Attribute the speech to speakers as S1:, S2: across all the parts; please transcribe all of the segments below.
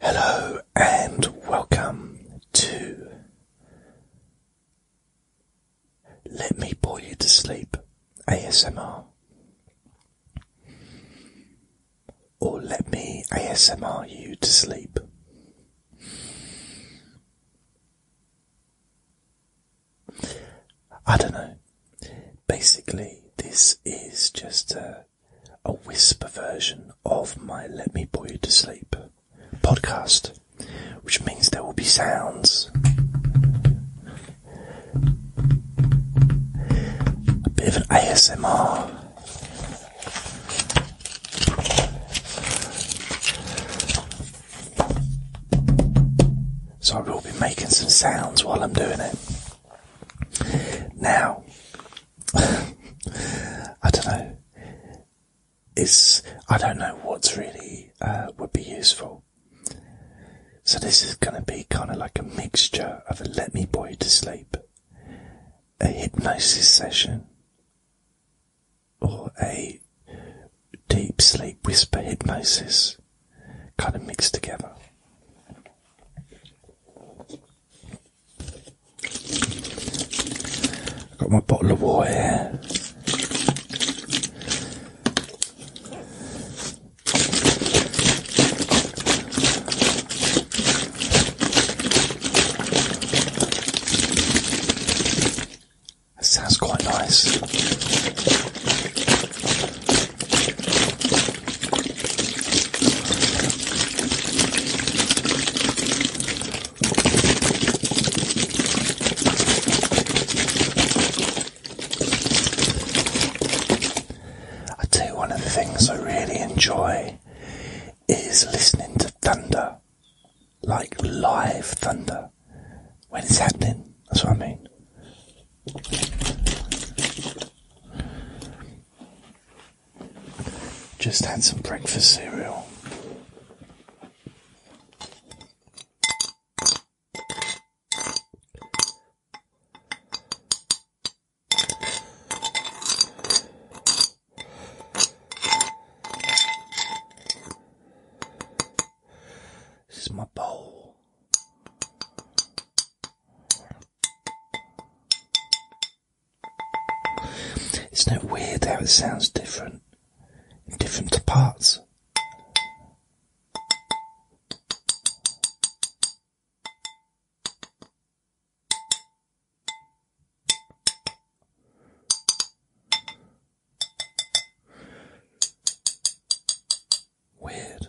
S1: Hello and welcome to Let Me Bore You to Sleep ASMR or Let Me ASMR You to Sleep. I don't know. Basically, this is just a a whisper version of my Let Me Boy You to Sleep podcast, which means there will be sounds. A bit of an ASMR. So I will be making some sounds while I'm doing it. Now, I don't know. It's I don't know what's really uh, would be useful. So this is going to be kind of like a mixture of a let me boy to sleep, a hypnosis session, or a deep sleep whisper hypnosis, kind of mixed together. Got my bottle of water here. That sounds quite nice. I do one of the things I really enjoy is listening to thunder, like live thunder, when it's happening. That's what I mean. Just had some breakfast cereal. This is my bowl. Isn't it weird how it sounds different in different parts? Weird.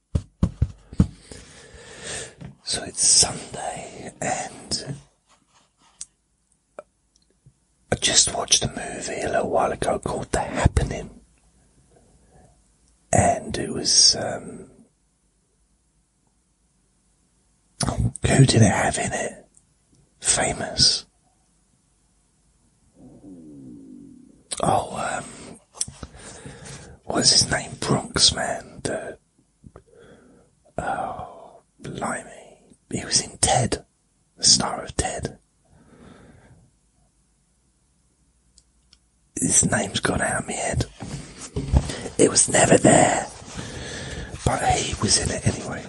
S1: So it's Sunday, and I just watched a movie a little while ago called The Happening, and it was um, who did it have in it? Famous. Oh, um, what's his name? Bronx man. The oh, blimey, he was in Ted, the star of Ted. His name's gone out of my head. It was never there, but he was in it anyway.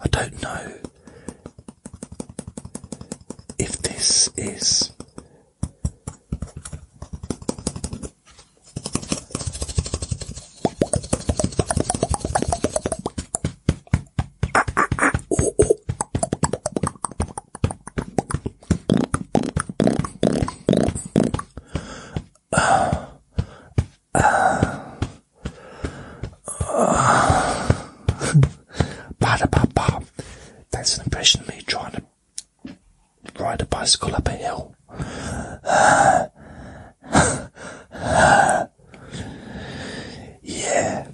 S1: I don't know if this is uh, uh, uh. Ba-da-ba-ba. That's an impression of me trying to ride a bicycle up a hill. yeah.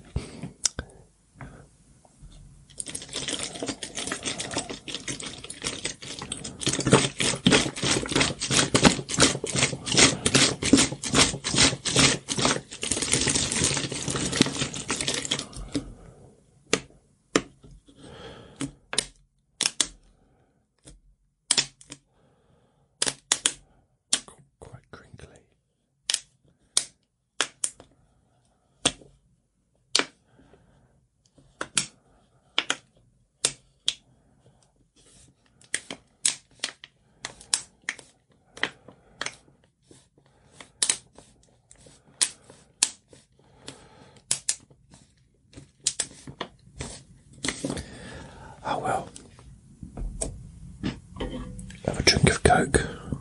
S1: Quite crinkly. I will have a drink of Coke.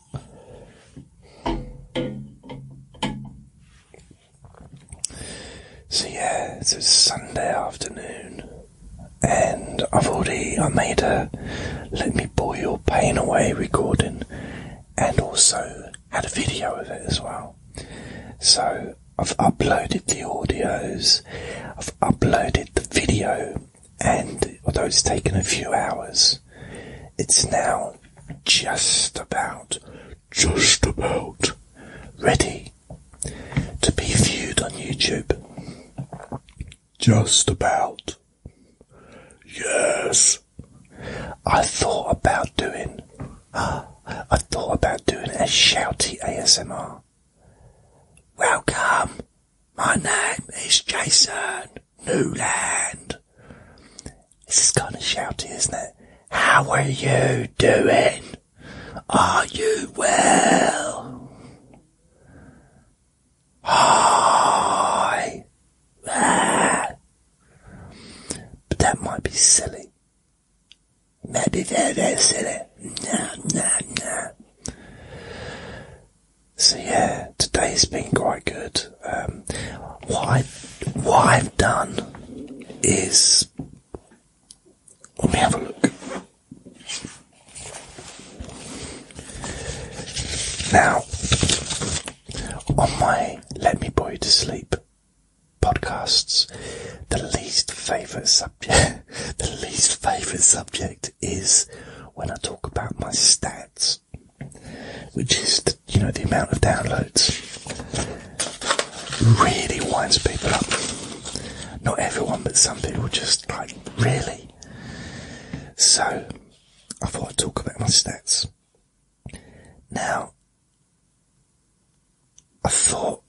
S1: So yeah, it's a Sunday afternoon, and I've already I made a "Let Me Boil Pain Away" recording, and also had a video of it as well. So I've uploaded the audios, I've uploaded the video, and although it's taken a few hours, it's now just about, just about ready to be viewed on YouTube. Just about. Yes. I thought about doing, I thought about doing a shouty ASMR. Welcome. My name is Jason. Newland. This is kind of shouty, isn't it? How are you doing? Are you well? Hi. But that might be silly. Maybe they're, they're silly. No, no, no. So yeah, today's been quite good. Um, what I have done is let me have a look. Now, on my Let Me Boy to Sleep podcasts, the least favourite subject, the least favourite subject is when I talk about my stats, which is you know, the amount of downloads really winds people up. Not everyone, but some people just like, really? So, I thought I'd talk about my stats. Now, I thought,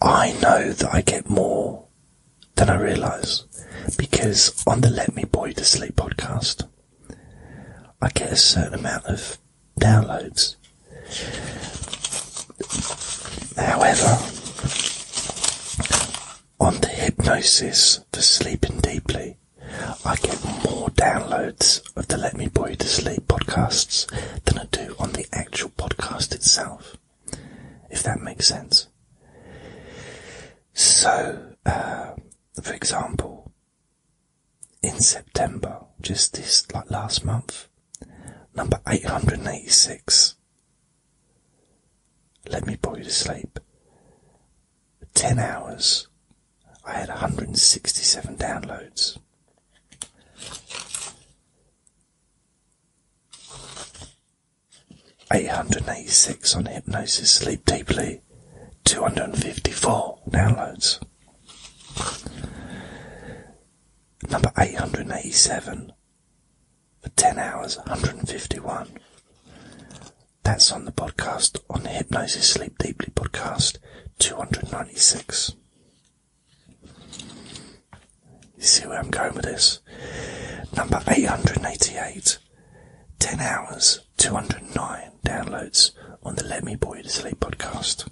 S1: I know that I get more than I realise because on the Let Me Boy to Sleep podcast, I get a certain amount of downloads. However, on the hypnosis for sleeping deeply, I get more downloads of the Let Me Boy to Sleep podcasts than I do on the actual podcast itself, if that makes sense. So, uh, for example, in September, just this like last month, number 886. Let me put you to sleep. 10 hours, I had 167 downloads. Eight hundred and eighty six on hypnosis, sleep deeply. 254 downloads. Number 887 for 10 hours 151. That's on the podcast on the Hypnosis Sleep Deeply podcast 296. You see where I'm going with this? Number 888. 10 hours 209 downloads on the Let Me Boy to Sleep podcast.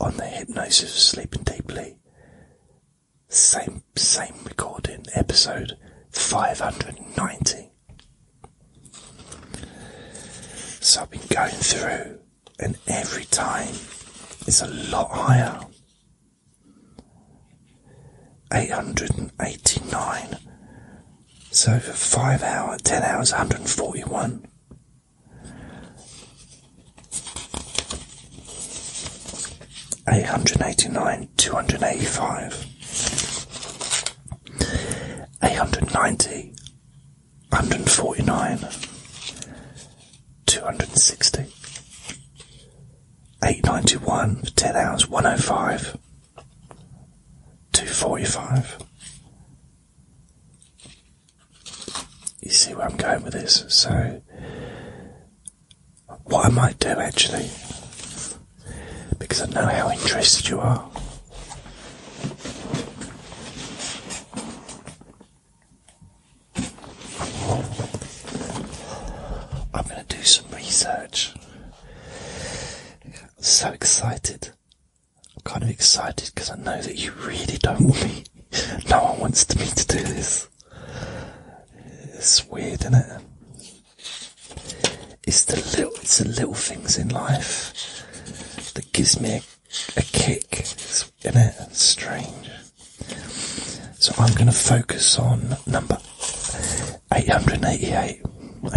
S1: On the Hypnosis of Sleeping Deeply, same same recording episode 590. So I've been going through, and every time it's a lot higher. 889 so for five hours, ten hours, 141. Eight hundred eighty nine, two hundred eighty five, eight hundred ninety, hundred forty nine, two hundred sixty, eight ninety one for ten hours, one oh five. 245. You see where I'm going with this? So, what I might do actually, because I know how interested you are. I'm going to do some research. so excited I'm kind of excited because I know that you really don't want me. no one wants me to do this. It's weird, isn't it? It's the little, it's the little things in life that gives me a, kick, it's, isn't it? strange. So I'm going to focus on number 888.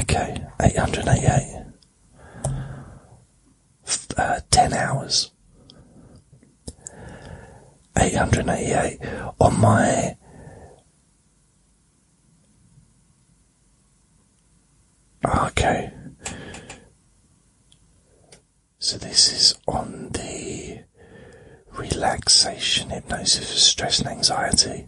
S1: Okay, 888. Uh, 10 hours. 888 on my ah, okay so this is on the relaxation hypnosis for stress and anxiety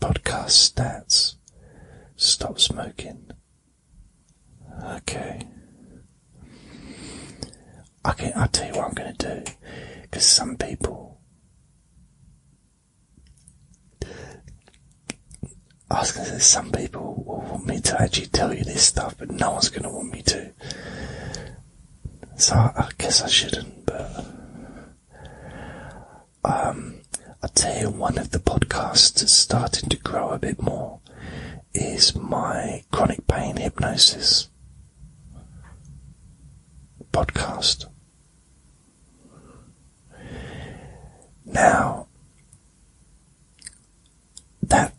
S1: Podcast stats. Stop smoking. Okay. Okay, I'll tell you what I'm going to do. Because some people. I was going to say, some people will want me to actually tell you this stuff, but no one's going to want me to. So I guess I shouldn't, but. Um, I tell you, one of the podcasts starting to grow a bit more is my chronic pain hypnosis podcast. Now, that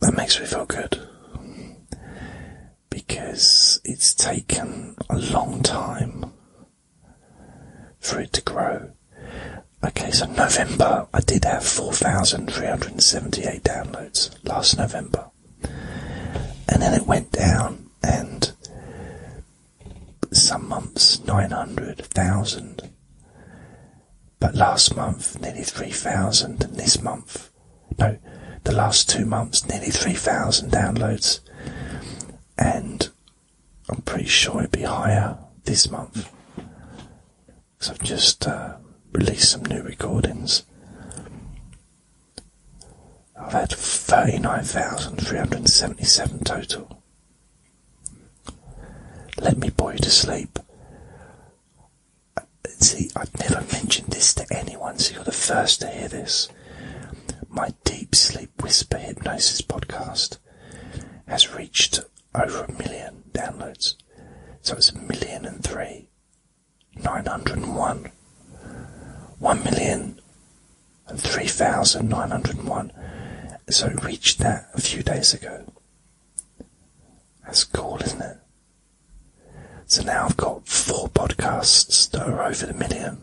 S1: that makes me feel good because it's taken a long time for it to grow. Okay, so November, I did have 4,378 downloads last November. And then it went down, and some months 900,000. But last month, nearly 3,000, and this month, no, the last two months, nearly 3,000 downloads and I'm pretty sure it'll be higher this month. So I've just uh, released some new recordings. I've had 39,377 total. Let me bore you to sleep. Uh, see, I've never mentioned this to anyone, so you're the first to hear this my Deep Sleep Whisper Hypnosis podcast has reached over a million downloads. So it's a million and three, nine hundred and one, one million and three thousand nine hundred and one. So it reached that a few days ago. That's cool, isn't it? So now I've got four podcasts that are over the million.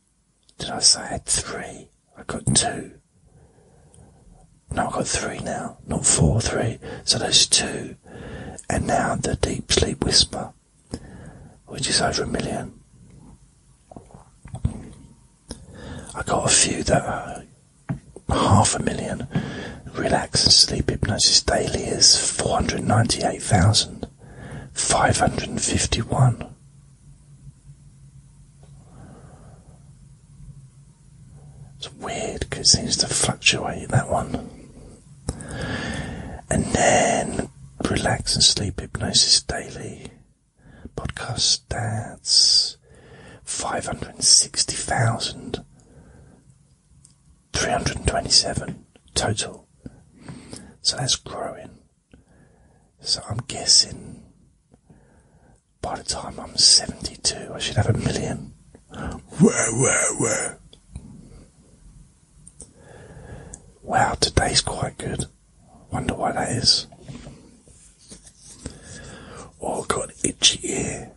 S1: Did I say I had three? I got two. No, I've got three now, not four, three. So there's two. And now the Deep Sleep Whisper, which is over a million. I got a few that are half a million. Relax and Sleep Hypnosis Daily is 498,000 five hundred and fifty one. It's weird because it seems to fluctuate that one. And then Relax and Sleep Hypnosis Daily podcast stats 560,327 total. So that's growing. So I'm guessing by the time I'm 72, I should have a million. Whoa, whoa, whoa. Wow, today's quite good. Wonder why that is. Oh, God, itchy ear.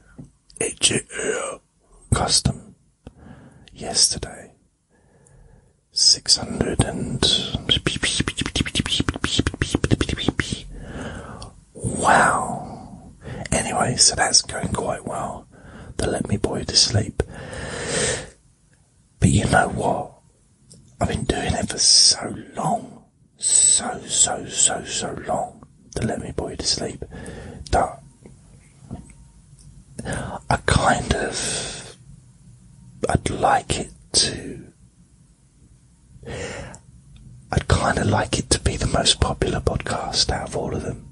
S1: Itchy ear. Custom. Yesterday six hundred and wow. Anyway, so that's going quite well. They let me boy to sleep. But you know what? I've been doing it for so long, so so so so long to let me boy to sleep that I kind of I'd like it to. I'd kind of like it to be the most popular podcast out of all of them.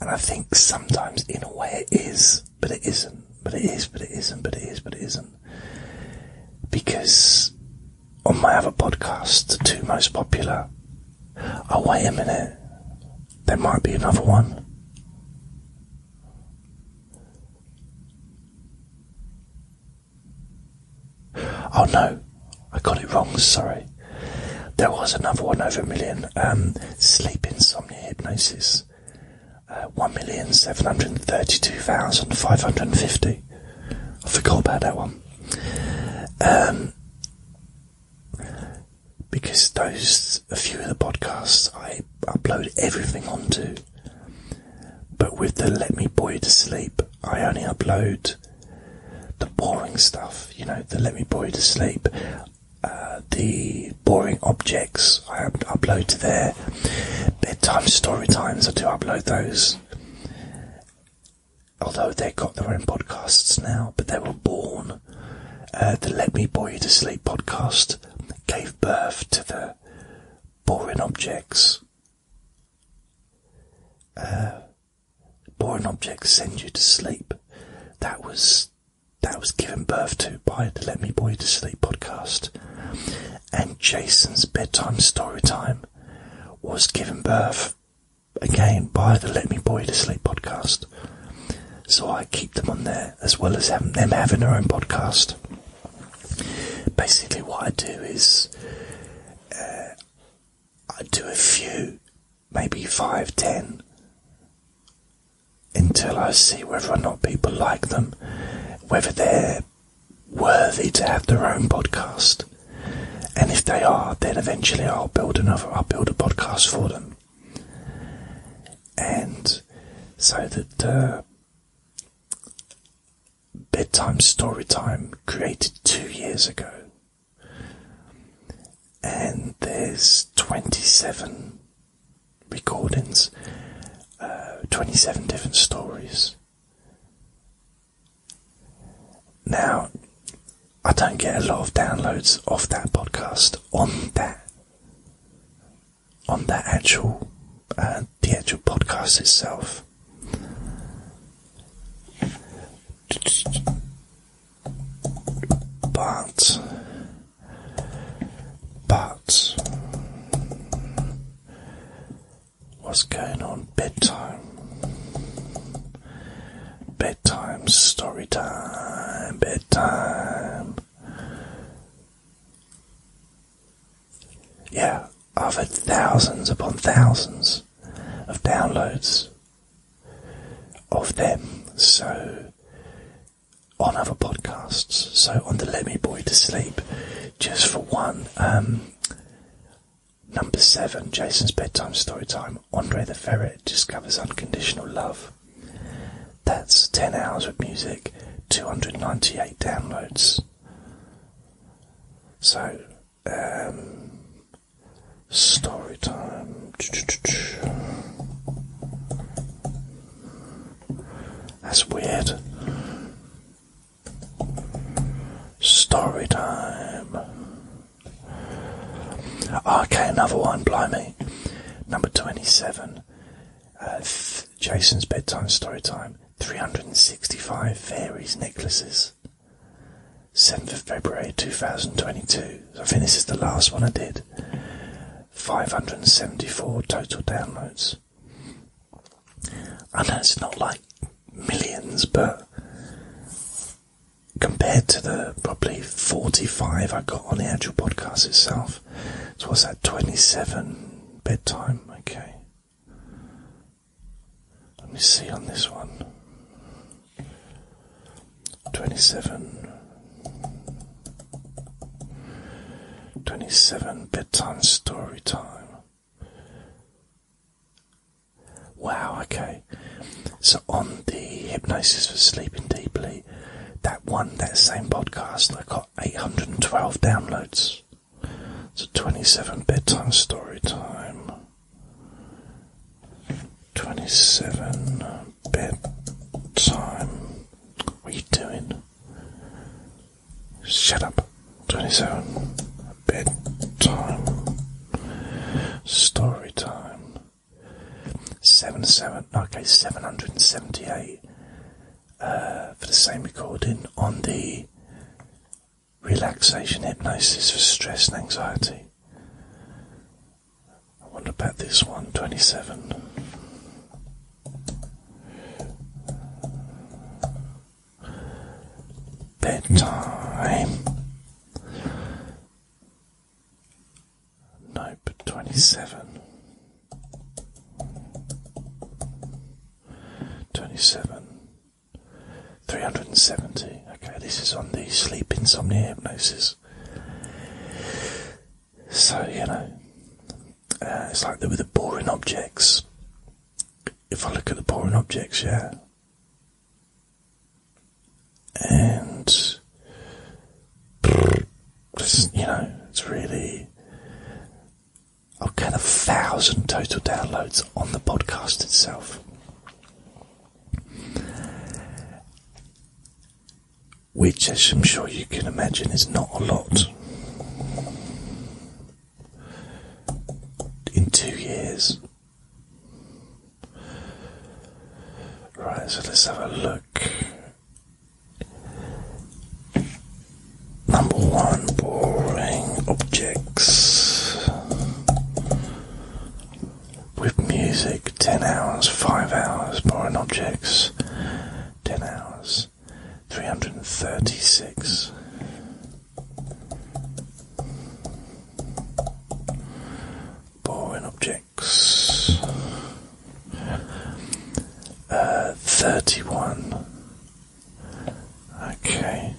S1: And I think sometimes, in a way, it is, but it isn't, but it is, but it isn't, but it is, but it isn't. Because on my other podcast, the two most popular, oh, wait a minute, there might be another one. Oh no, I got it wrong, sorry. There was another one over a million. Um, sleep insomnia hypnosis. Uh, 1,732,550. I forgot about that one. Um, because those a few of the podcasts I upload everything onto. But with the Let Me Boy to Sleep, I only upload the boring stuff, you know, the Let Me Boy to Sleep, uh, the boring objects I upload to there, bedtime story times, I do upload those. Although they've got their own podcasts now, but they were born uh, the Let Me Bore You to Sleep podcast gave birth to the Boring Objects. Uh, boring Objects Send You to Sleep. That was that was given birth to by the Let Me Bore You to Sleep podcast. And Jason's Bedtime Story Time was given birth again by the Let Me Bore You to Sleep podcast. So I keep them on there as well as them having their own podcast. Basically, what I do is uh, I do a few, maybe five, ten, until I see whether or not people like them, whether they're worthy to have their own podcast. And if they are, then eventually I'll build another, I'll build a podcast for them and so the bedtime story time created two years ago, and there's 27 recordings, uh, 27 different stories. Now, I don't get a lot of downloads off that podcast on that on that actual uh, the actual podcast itself. But, but, what's going on? Bedtime. Bedtime, story time, bedtime, yeah, I've had thousands upon thousands of downloads of them. So, on other podcasts, so on the Let Me Boy to Sleep, just for one, um, number seven, Jason's Bedtime Story Time, Andre the Ferret discovers unconditional love. That's 10 hours of music, 298 downloads. So, um, story time. That's weird. Story time. Okay, another one, Blow me, Number 27. Uh, Jason's bedtime story time. 365 fairies necklaces. 7th of February 2022. I think this is the last one I did. 574 total downloads. I know it's not like millions, but compared to the probably 45 I got on the actual podcast itself, so what's that? Twenty-seven bedtime. Okay. Let me see on this one. Twenty-seven. Twenty-seven bedtime story time. Wow. Okay. So on the hypnosis for sleeping deeply that one, that same podcast I got 812 downloads. It's a 27 bedtime story time. 27 bedtime. What are you doing? Shut up. 27 bedtime story time. 77, okay, 778. Uh, for the same recording on the relaxation hypnosis for stress and anxiety. I wonder about this one, 27. Bedtime. Nope, 27. 27. 370. Okay, this is on the sleep insomnia hypnosis. So, you know, uh, it's like with the boring objects. If I look at the boring objects, yeah. And you know, it's really. I've got a thousand total downloads on the podcast itself. Which, as I'm sure you can imagine, is not a lot. In two years. Right, so let's have a look Number one, boring objects. With music, 10 hours, 5 hours, boring objects, 10 hours, 336. Boring objects. Uh, 31. Okay.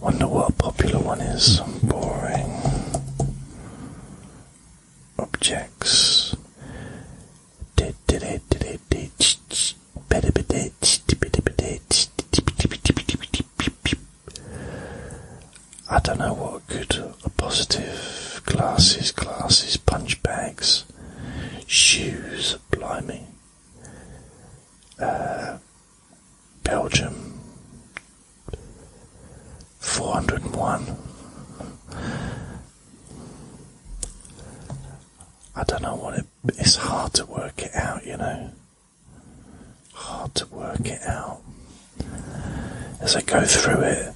S1: Wonder what a popular one is. Boring. Objects. I don't know what a good, a positive, glasses, glasses, punch bags shoes, blimey. Uh, Belgium, 401. I don't know what it's hard to work it out, you know. Hard to work it out. As I go through it,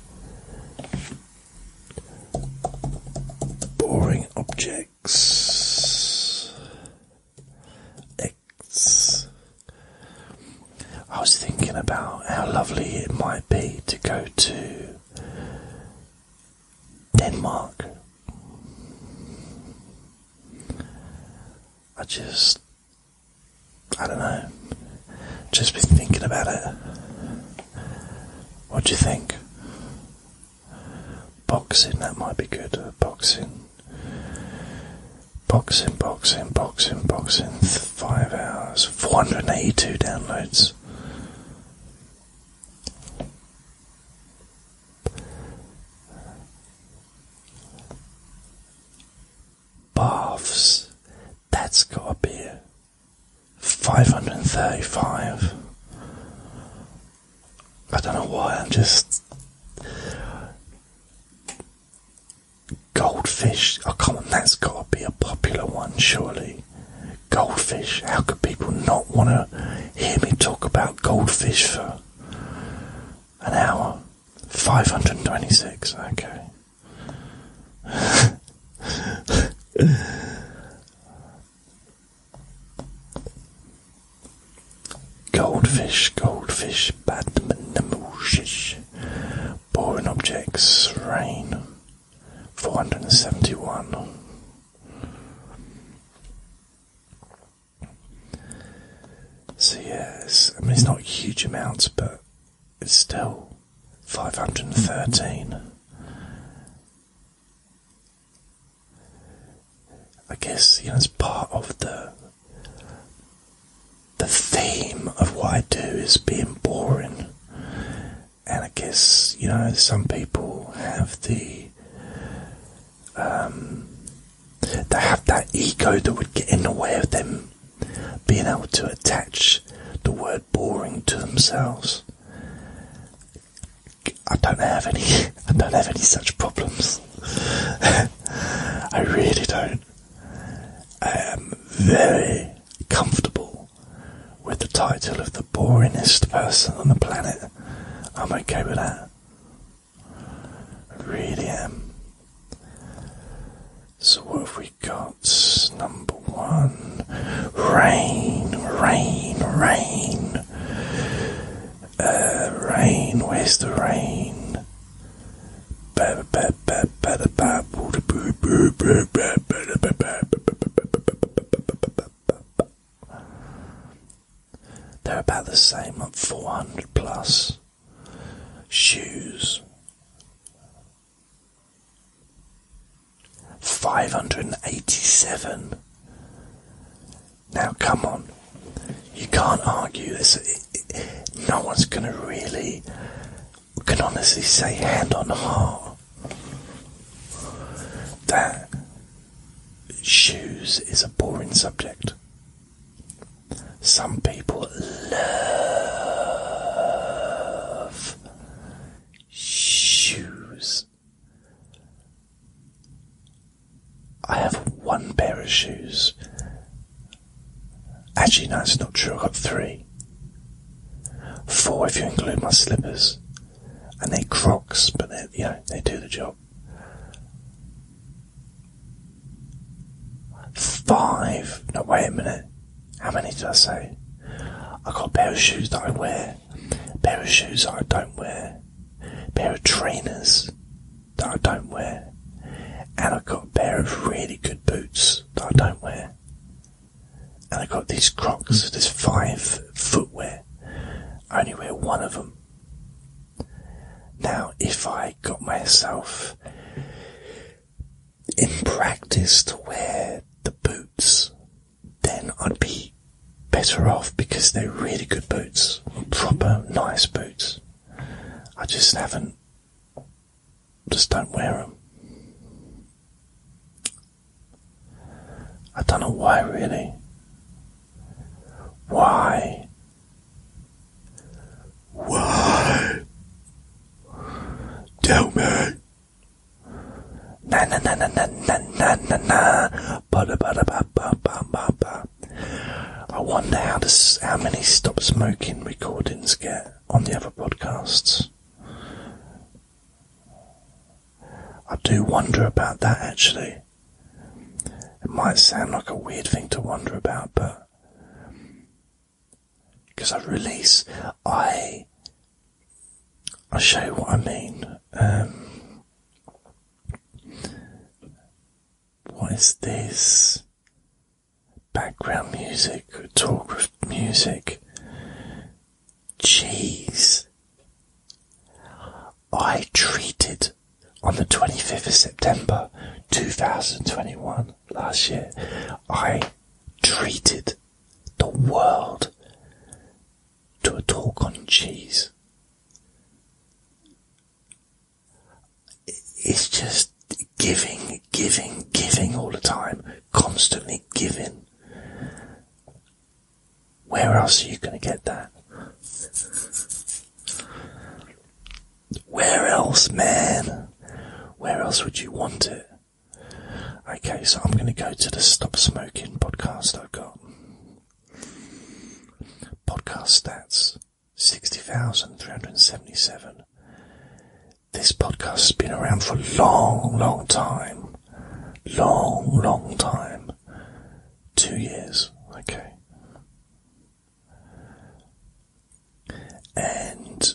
S1: boring objects. X. I was thinking about how lovely it might be to go to Denmark. I just, I don't know, just been thinking about it. What do you think? Boxing, that might be good. Boxing. Boxing, boxing, boxing, boxing. Five hours. 482 downloads. Baths. That's got to be 535. I don't know why, I'm just. Goldfish. Oh, come on, that's got to be a popular one, surely. Goldfish. How could people not want to hear me talk about goldfish for an hour? 526, okay. Goldfish, goldfish, badman, mooshish, boring objects, rain, 471. So, yes, I mean, it's not huge amounts, but it's still 513. I guess you know it's part of the the theme of what I do is being boring, and I guess you know some people have the um, they have that ego that would get in the way of them being able to attach the word boring to themselves. I don't have any. I don't have any such problems. I really don't. I am very comfortable with the title of the boringest person on the planet. I'm okay with that. I really am. So what have we got? number one? Rain, rain, rain. rain, where's the rain? They're about the same at 400 plus. Shoes. 587. Now, come on. You can't argue this. no one's going to really, can honestly say hand on heart that shoes is a boring subject. Some people love shoes. I have one pair of shoes. Actually, no, not true. I've got three. Four if you include my slippers. And they're crocs, but they they do the job. Five. No, wait a minute. How many did I say? I got a pair of shoes that I wear, a pair of shoes that I don't wear, a pair of trainers that I don't wear, and I got a pair of really good boots that I don't wear. And I got these Crocs, this five footwear. I only wear one of them. Now, if I got myself in practice to wear the boots then I'd be better off because they're really good boots, proper nice boots. I just haven't, just don't wear them. I don't know why, really. Why? Why? Tell me. Na na na na na na na na na. Ba da ba da ba ba ba I wonder how many stop smoking recordings get on the other podcasts. I do wonder about that actually. It might sound like a weird thing to wonder about, but because I release, I I'll show you what I mean. Um, what is this? Background music, talk of music. Jeez. I treated on the 25th of September 2021 last year. I treated the world to a talk on cheese. It's just giving, giving, giving all the time, constantly giving. Where else are you going to get that? Where else, man? Where else would you want it? Okay, so I'm going to go to the Stop Smoking podcast I've got. Podcast stats 60,377. This podcast has been around for a long, long time. Long, long time. Two years. Okay. And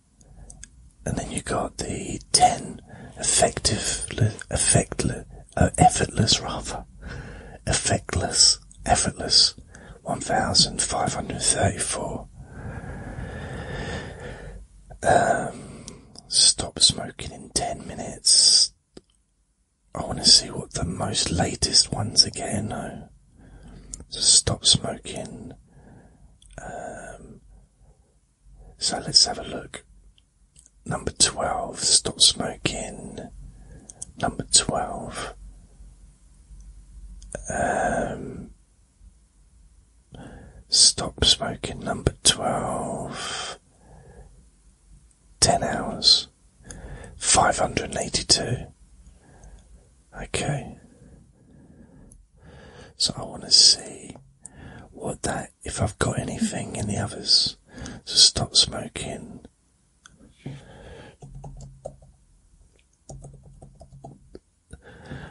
S1: and then you got the 10 effective, effectless, oh, effortless rather, effectless, effortless, 1534. Um, stop smoking in 10 minutes. I want to see what the most latest ones again. No. stop smoking. Um, so let's have a look. Number 12, Stop Smoking. Number 12. Um, stop Smoking, number 12. 10 hours. 582. Okay. So I want to see what that, if I've got anything in the others. So stop smoking.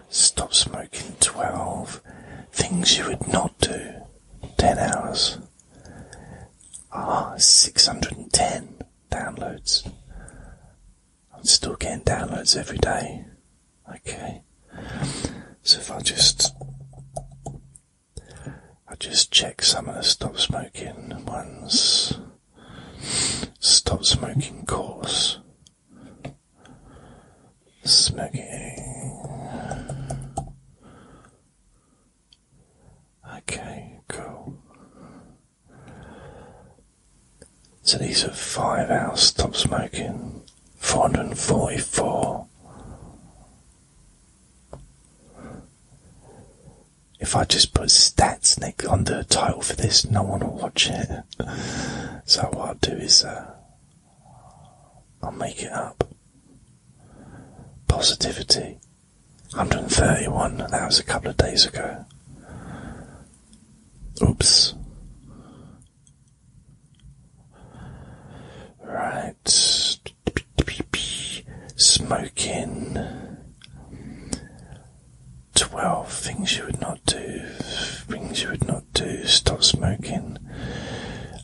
S1: Stop smoking 12. Things you would not do. 10 hours. Ah, 610 downloads. I'm still getting downloads every day. Okay. So if I just I just check some of the stop smoking ones stop smoking course. Smoking Okay, cool. So these are five hours stop smoking, 444. If I just put stats Nick on the title for this, no one will watch it. so what I'll do is uh, I'll make it up. Positivity, 131. That was a couple of days ago. Oops. Right. Smoking. Twelve things you would not do. Things you would not do. Stop smoking.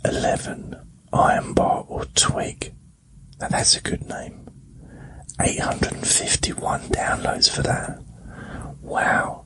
S1: Eleven. Iron bar or twig. Now that's a good name. 851 downloads for that. Wow.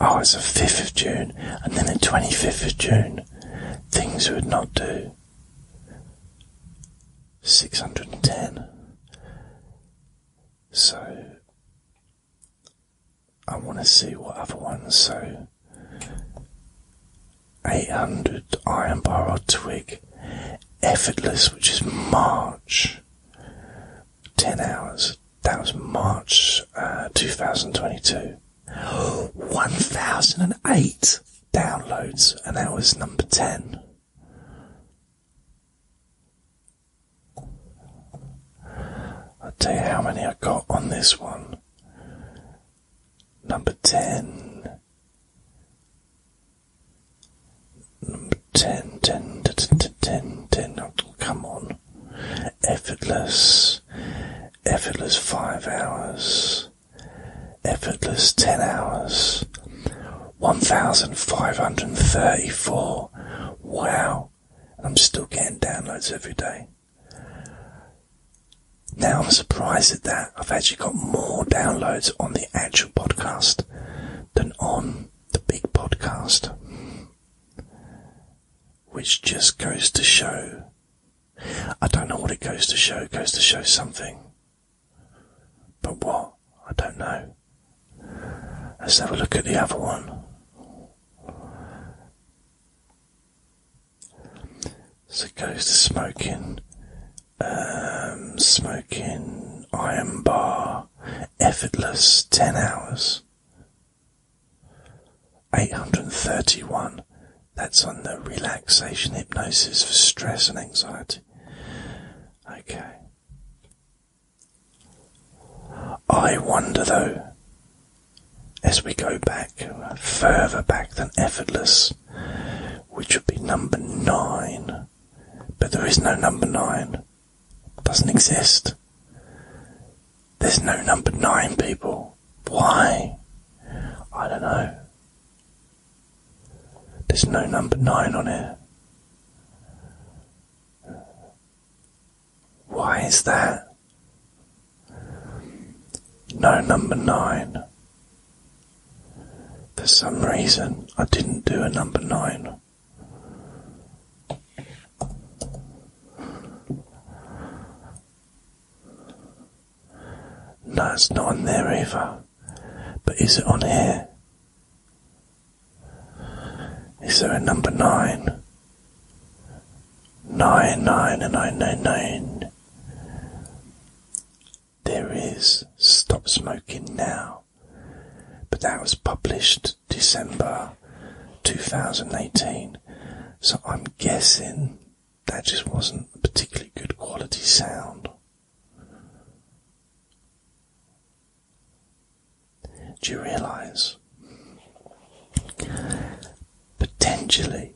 S1: Oh, it's the 5th of June, and then the 25th of June. Things would not do. 610. So, I want to see what other ones. So, 800 Iron Bar Effortless, which is March. 10 hours. That was March uh, 2022. 1008 downloads, and that was number 10. I'll tell you how many I got on this one. Number 10. Number 10, 10, 10, 10, 10. Oh, come on effortless, effortless five hours, effortless ten hours, 1534. Wow, I'm still getting downloads every day. Now I'm surprised at that. I've actually got more downloads on the actual podcast than on the big podcast which just goes to show. I don't know what it goes to show, goes to show something. But what? I don't know. Let's have a look at the other one. So it goes to smoking, um, smoking, iron bar, effortless, 10 hours, 831. That's on the relaxation hypnosis for stress and anxiety. Okay. I wonder though, as we go back further back than effortless, which would be number nine, but there is no number nine, it doesn't exist. There's no number nine, people. Why? I don't know. There's no number nine on it. Why is that? No number nine. For some reason, I didn't do a number nine. No, it's not on there either. But is it on here? Is there a number nine? Nine, nine, nine, nine, nine. There is Stop Smoking Now. But that was published December 2018. So I'm guessing that just wasn't a particularly good quality sound. Do you realise? Potentially,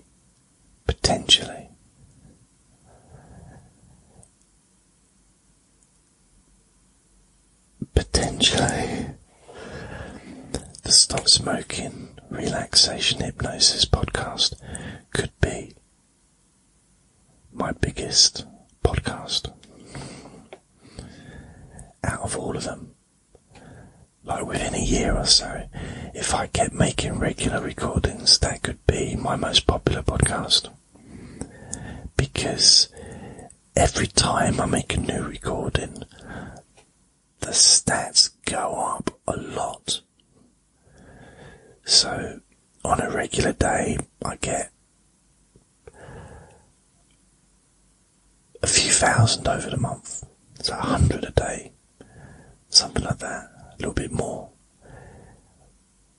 S1: potentially, potentially, the Stop Smoking Relaxation Hypnosis podcast could be my biggest podcast. Out of all of them, like within a year or so, if I kept making regular recordings, that could be my most popular podcast. Because every time I make a new recording, the stats go up a lot. So on a regular day, I get a few thousand over the month. So a hundred a day, something like that, a little bit more.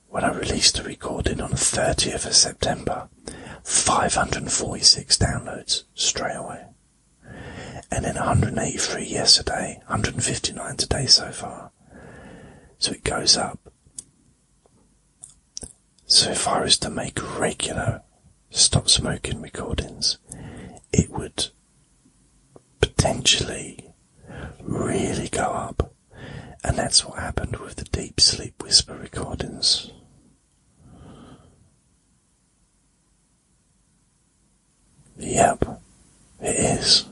S1: When I released the recording on the 30th of September, 546 downloads straight away and then 183 yesterday, 159 today so far. So it goes up. So if I was to make regular stop smoking recordings, it would potentially really go up. And that's what happened with the deep sleep whisper recordings. Yep, it is.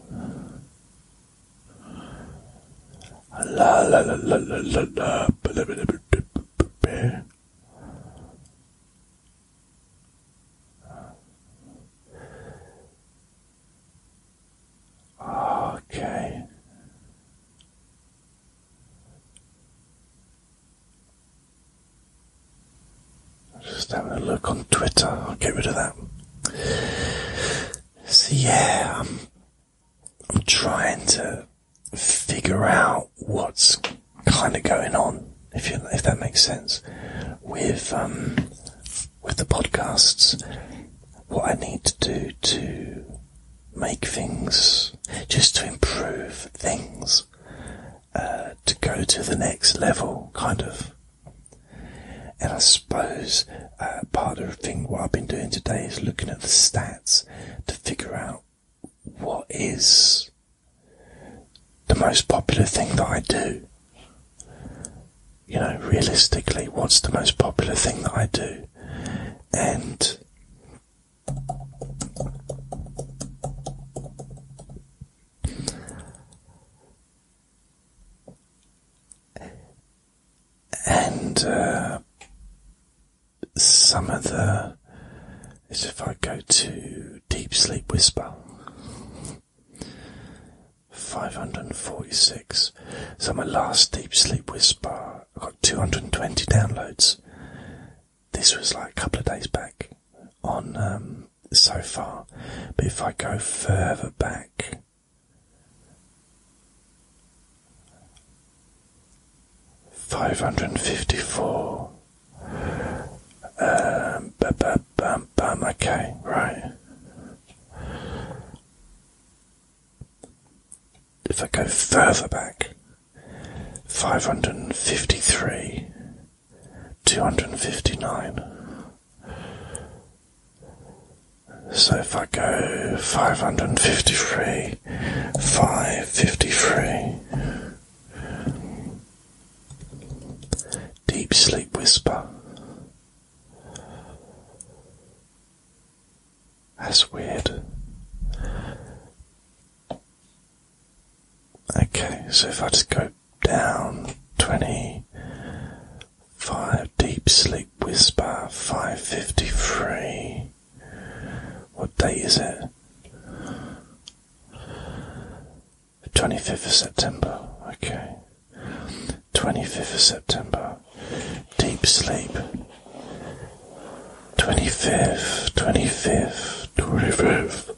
S1: Okay. Just having a look on Twitter. I'll get rid of that. So yeah, I'm, trying to figure out what's kind of going on, if if that makes sense, with um, with the podcasts. What I need to do to make things, just to improve things. Uh, to go to the next level, kind of. And I suppose uh, part of the thing what I've been doing today is looking at the stats to figure out what is the most popular thing that I do. You know, realistically, what's the most popular thing that I do? And and uh, some of the if I go to Deep Sleep Whisper. 546. So my last Deep Sleep Whisper, I got 220 downloads this was like a couple of days back on um, so far, but if I go further back, five hundred and fifty-four. Um, ba -ba -bum Okay, right. If I go further back, five hundred and fifty-three two hundred and fifty nine. So if I go five hundred and fifty three, five fifty three. Deep sleep whisper. That's weird. Okay, so if I just go down 25, Deep Sleep Whisper 553. What date is it? 25th of September, okay. 25th of September, Deep Sleep. 25th, 25th, 25th.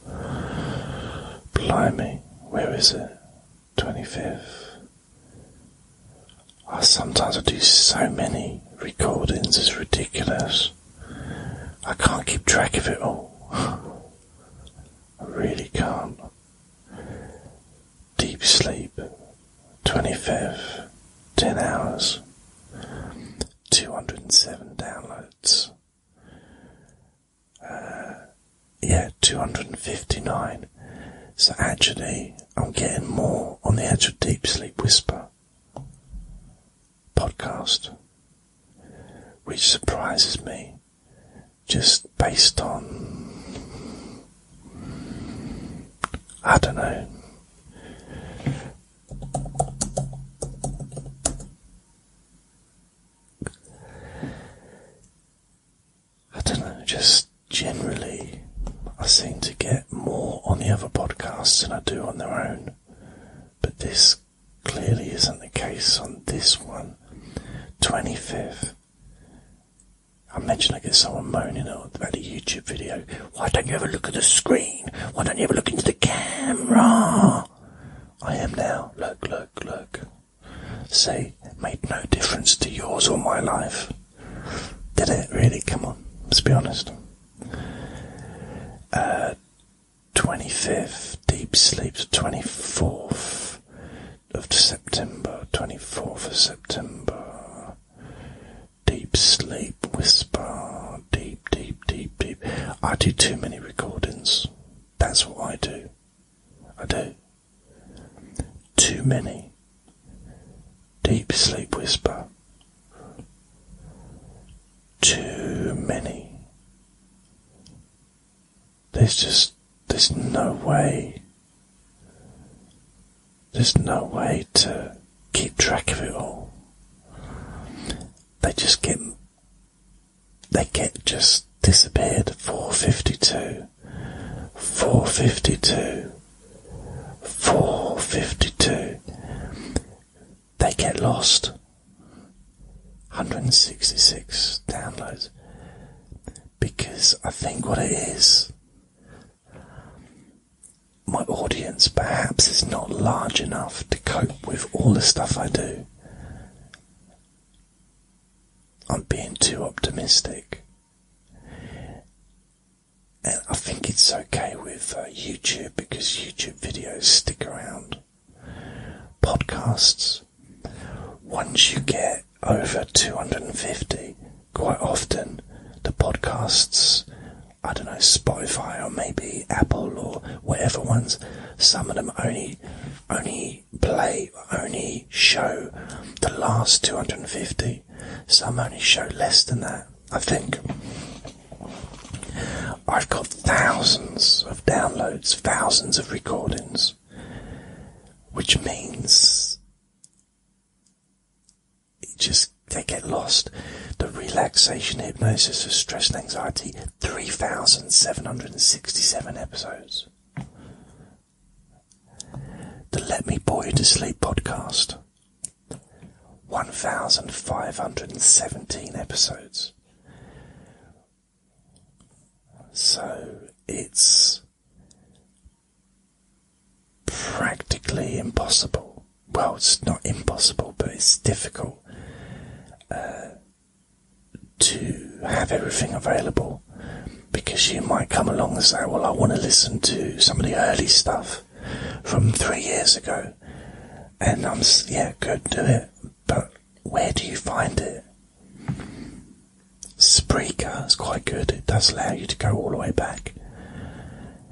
S1: Blimey, where is it? 25th. I ah, sometimes I do so many recordings, it's ridiculous. I can't keep track of it all. I really can't. Deep sleep, 25th, 10 hours, 207 downloads. Uh, yeah, 259. So actually, I'm getting more on the actual Deep Sleep Whisper podcast, which surprises me just based on, I don't know. I don't know, just generally, I seem to get more on the other podcasts than I do on their own. But this clearly isn't the case on this one. 25th. I mentioned I get someone moaning oh, about the YouTube video. Why don't you ever look at the screen? Why don't you ever look into the camera? I am now. Look, look, look. See, it made no difference to yours or my life. Did it really? Come on, let's be honest. 25th, uh, deep sleep. 24th of September, 24th of September. Deep sleep, whisper, deep, deep, deep, deep. I do too many recordings. That's what I do. I do. Too many. Deep sleep whisper. Too many. There's just, there's no way. There's no way to keep track of it all. They just keep. They get just disappeared. 452, 452, 452. They get lost. 166 downloads. Because I think what it is, my audience perhaps is not large enough to cope with all the stuff I do. I'm being too optimistic. And I think it's okay with uh, YouTube because YouTube videos stick around. Podcasts, once you get over 250, quite often the podcasts, I don't know, Spotify or maybe Apple or whatever ones, some of them only only play or only show the last 250. Some only show less than that, I think. I've got thousands of downloads, thousands of recordings, which means it just they get lost. The relaxation hypnosis of stress and anxiety, 3,767 episodes. The Let Me Bore You to Sleep podcast, 1,517 episodes. So it's practically impossible. Well, it's not impossible, but it's difficult uh, to have everything available because you might come along and say, Well, I want to listen to some of the early stuff from three years ago. And I'm, yeah, could do it. But where do you find it? Spreaker is quite good. It does allow you to go all the way back.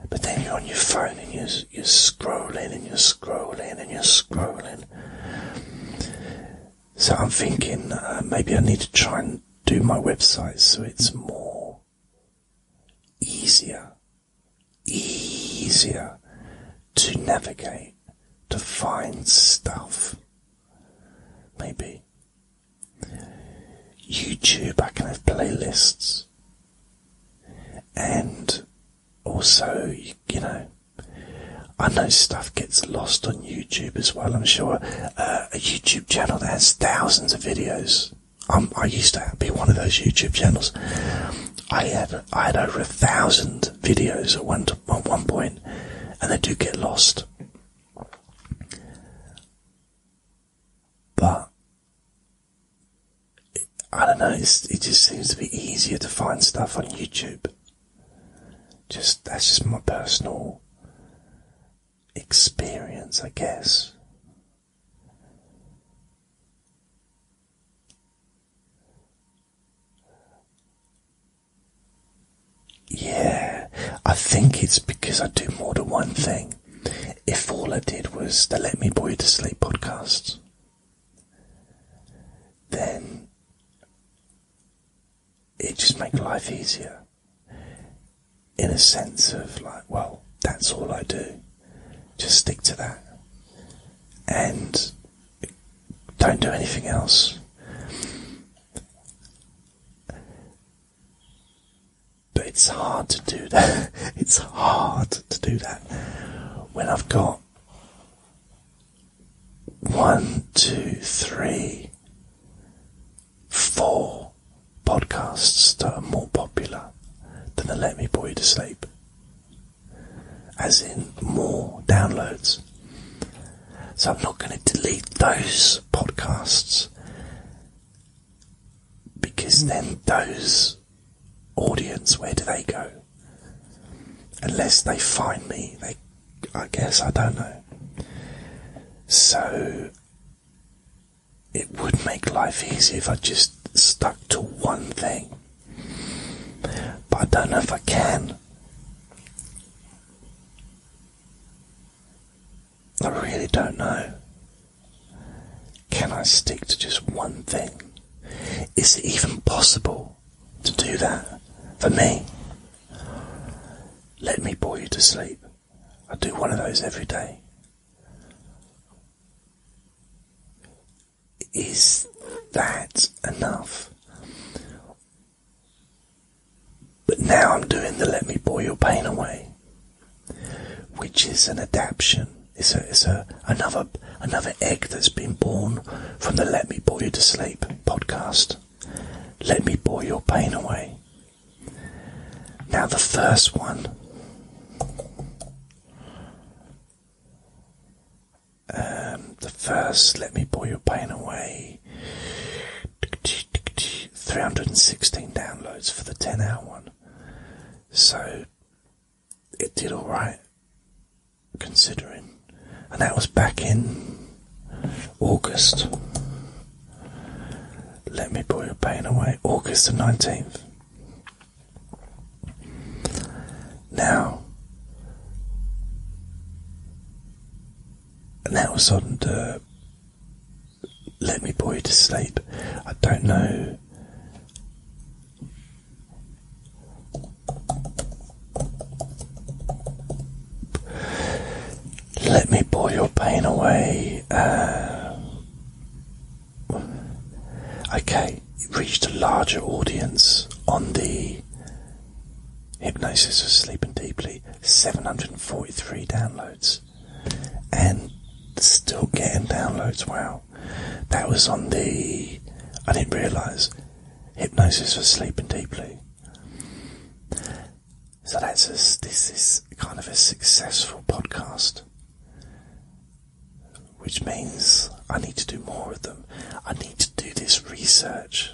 S1: But then you're on your phone and you're, you're scrolling and you're scrolling and you're scrolling so I'm thinking uh, maybe I need to try and do my website so it's more easier, easier to navigate, to find stuff. Maybe. YouTube, I can have playlists. And also, you know, I know stuff gets lost on YouTube as well. I'm sure uh, a YouTube channel that has thousands of videos. Um, I used to be one of those YouTube channels. I had I had over a thousand videos at one at one point, and they do get lost. But I don't know. it just seems to be easier to find stuff on YouTube. Just that's just my personal experience, I guess. Yeah, I think it's because I do more than one thing. If all I did was the Let Me Boy to Sleep podcasts, then it just makes life easier in a sense of like, well, that's all I do. Just stick to that and don't do anything else. But it's hard to do that. It's hard to do that when I've got one, two, three, four podcasts that are more popular than the Let Me Put You to Sleep. As in more downloads. So I'm not going to delete those podcasts because then those audience, where do they go? Unless they find me, I guess, I don't know. So, it would make life easy if I just stuck to one thing. But I don't know if I can. I really don't know. Can I stick to just one thing? Is it even possible? to do that for me. Let me bore you to sleep. I do one of those every day. Is that enough? But now I'm doing the Let Me Bore Your Pain Away, which is an adaptation. It's a, it's a another another egg that's been born from the Let Me Bore You to Sleep podcast. Let Me Bore Your Pain Away. Now, the first one. Um, the first, Let Me Bore Your Pain Away. 316 downloads for the 10 hour one. So, it did alright considering. And that was back in August. Let me put your pain away. August the 19th. Now, and that was on Let Me you to Sleep. I don't know let me pour your pain away. Uh, okay, it reached a larger audience on the Hypnosis for Sleeping Deeply. 743 downloads. And still getting downloads. Wow. That was on the. I didn't realise hypnosis for sleeping deeply. So that's this is kind of a successful podcast, which means I need to do more of them. I need to do this research.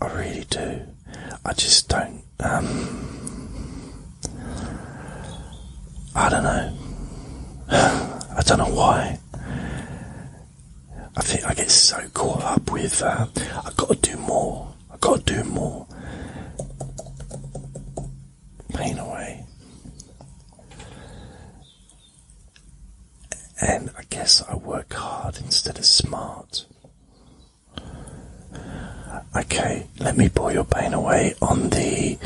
S1: I really do. I just don't. Um, I don't know. I don't know why. I think I get so caught up with uh, i got to do more. i got to do more. Pain away. And I guess I work hard instead of smart. Okay, let me pour your pain away on the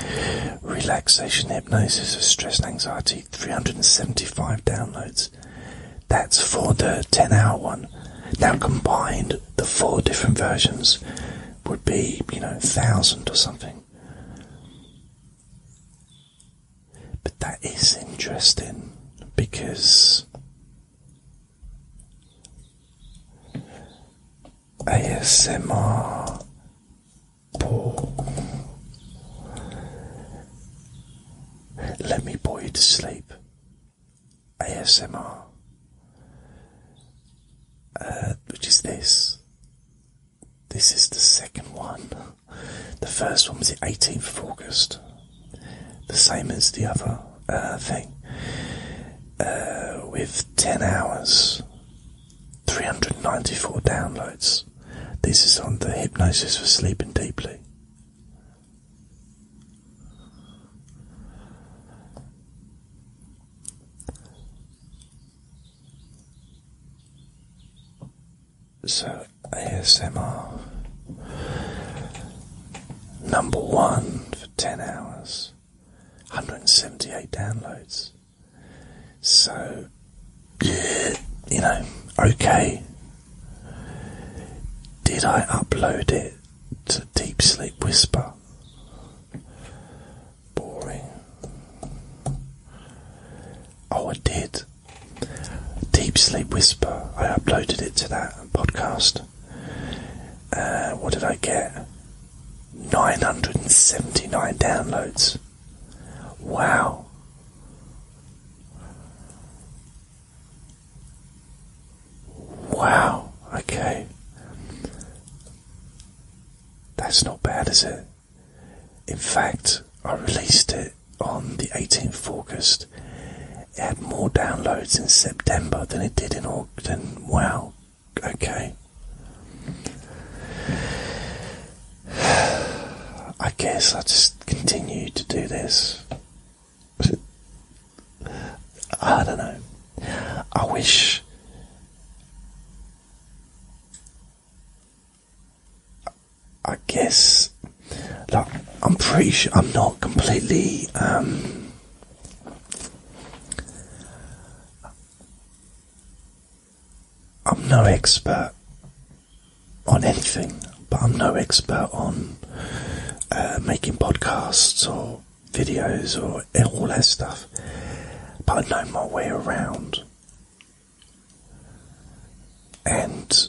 S1: relaxation hypnosis of stress and anxiety. 375 downloads. That's for the 10 hour one. Now, combined, the four different versions would be, you know, 1,000 or something. But that is interesting because ASMR let me bore you to sleep. ASMR, uh, which is this. This is the second one. The first one was the 18th of August, the same as the other uh, thing, uh, with 10 hours 394 downloads. This is on the Hypnosis for Sleeping Deeply. So, ASMR number one for 10 hours, 178 downloads. So, you know, okay. Did I upload it to Deep Sleep Whisper? Boring. Oh, I did. Deep Sleep Whisper. I uploaded it to that podcast. Uh, what did I get? 979 downloads. Wow. Wow, okay. That's not bad, is it? In fact, I released it on the 18th of August. It had more downloads in September than it did in August. Wow, okay. I guess I just continue to do this. I don't know. I wish. I guess. Like, I'm pretty sure I'm not completely. Um, I'm no expert on anything, but I'm no expert on uh, making podcasts or videos or all that stuff. But I know my way around. And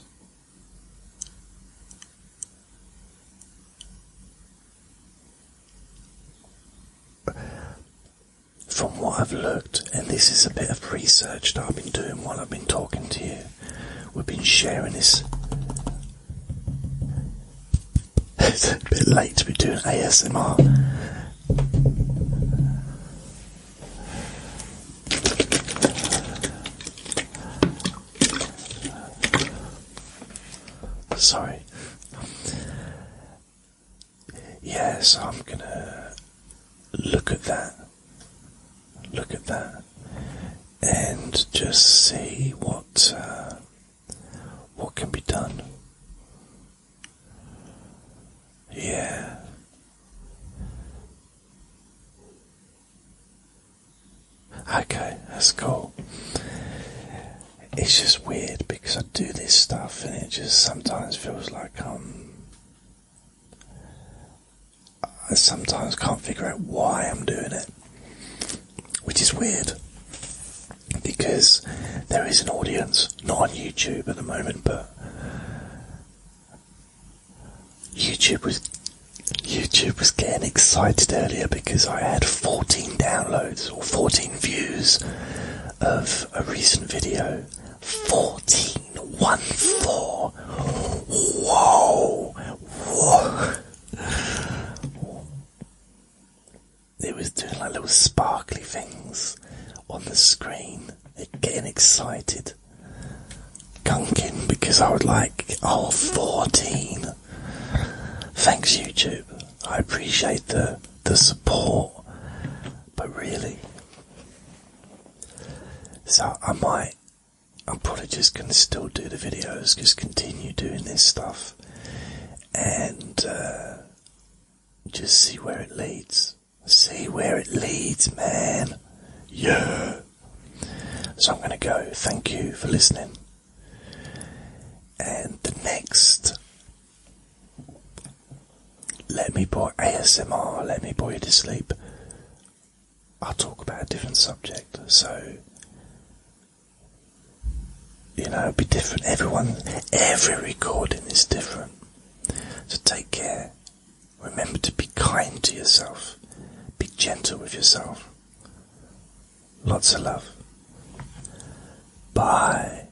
S1: from what I've looked, and this is a bit of research that I've been doing while I've been talking to you. We've been sharing this. it's a bit late to be doing ASMR. Sorry. Yes, I'm gonna look at that, look at that, and just see what uh, what can be done. Yeah. Okay, that's cool. It's just weird because I do this stuff and it just sometimes feels like I sometimes can't figure out why I'm doing it, which is weird because there is an audience, not on YouTube at the moment, but YouTube was YouTube was getting excited earlier because I had 14 downloads or 14 views of a recent video go. 14, 1, 4. Whoa. It was doing like little sparkly things on the screen. It getting excited. Gunking because I was like, oh, 14. Thanks, YouTube. I appreciate the, the support but really. So I might, I'm probably just going to still do the videos, just continue doing this stuff, and uh, just see where it leads. See where it leads, man. Yeah. So I'm going to go. Thank you for listening. And the next let me boy ASMR, let me put you to sleep. I'll talk about a different subject, so you know it'll be different. Everyone every recording is different. So take care. Remember to be kind to yourself. Be gentle with yourself. Lots of love. Bye.